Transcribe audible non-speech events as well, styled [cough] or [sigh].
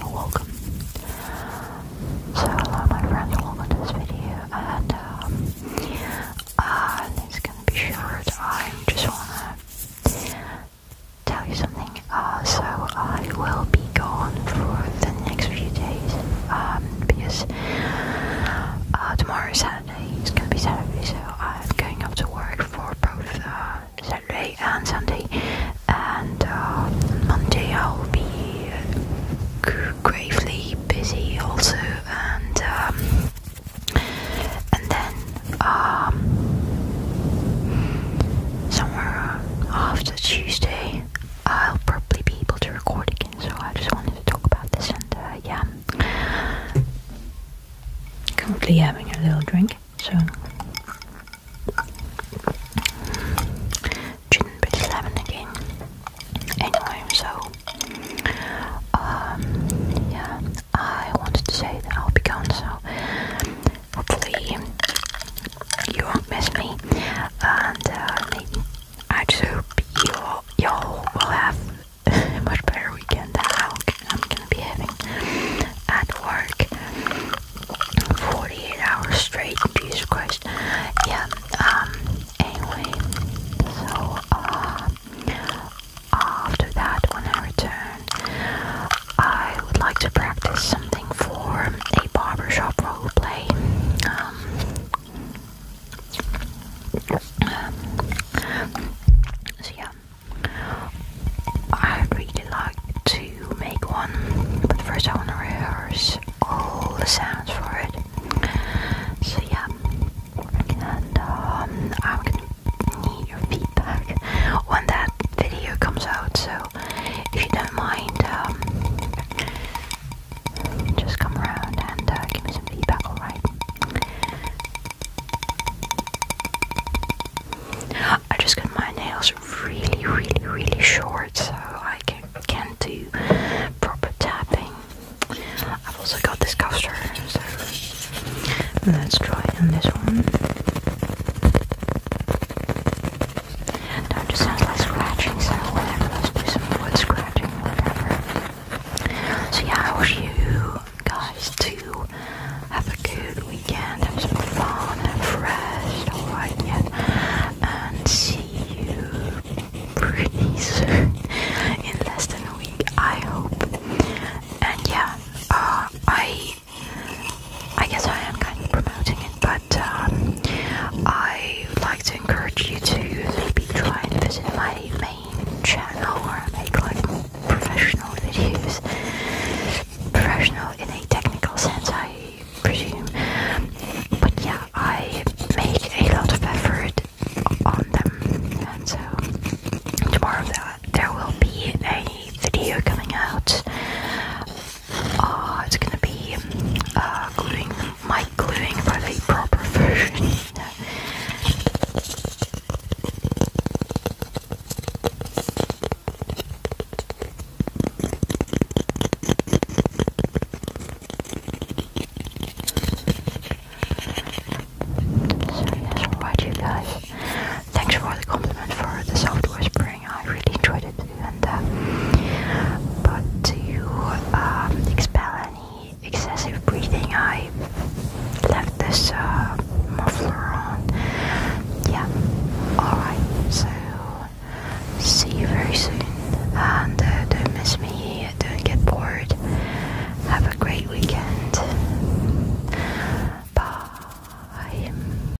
Welcome. So hello my friend, welcome to this video and um, uh, gonna be short. I just wanna tell you something. Uh, so I will be gone for the next few days um, because uh, tomorrow is Saturday, it's gonna be Saturday so I'm going off to work for both uh, Saturday and Sunday, and uh, Monday I'll be uh, gravely busy also, and um, and then um, somewhere after Tuesday I'll probably be able to record again. So I just wanted to talk about this, and uh, yeah. Completely having a little drink, so shouldn't be again. Anyway, so um, yeah, I wanted to say that I'll be gone, so hopefully you won't miss me, and uh, I just hope you all, you all will have [laughs] much better weekend than I'm gonna be having at work 48 hours straight. Jesus Christ. Yeah. Um. Anyway. So. Uh. After that, when I return, I would like to practice something for a barbershop role play. Um, um, so yeah, i really like to make one, but first I want to rehearse all the sounds for it. So yeah, and um, I'm gonna need your feedback when that video comes out. So if you don't mind, um, just come around and uh, give me some feedback, alright? I just got my nails really, really, really short so I can, can't do proper tapping. I've also got this coaster, so let's try on this one. That just sounds like scratching, so whatever, let's do some wood scratching, whatever. So yeah, I wish you guys to have a good weekend, have some fun, have rest, alright, yeah, and see you pretty [laughs] in less than a week, I hope. And yeah, uh, I I guess I am kind of promoting it, but um, I would like to encourage you to maybe try and visit my main channel where I make like professional videos. Professional in a technical sense, I presume. But yeah, I make a lot of effort on them, and so tomorrow there will be a video coming out uh, it's gonna be uh, gluing my gluing for the proper version. So yes, alright you guys. Thanks for the compliment for the soft whisper. I really enjoyed it, and uh, but to um, expel any excessive breathing, I left this uh, muffler on. Yeah. All right. So see you very soon, and uh, don't miss me. Don't get bored. Have a great weekend. Bye.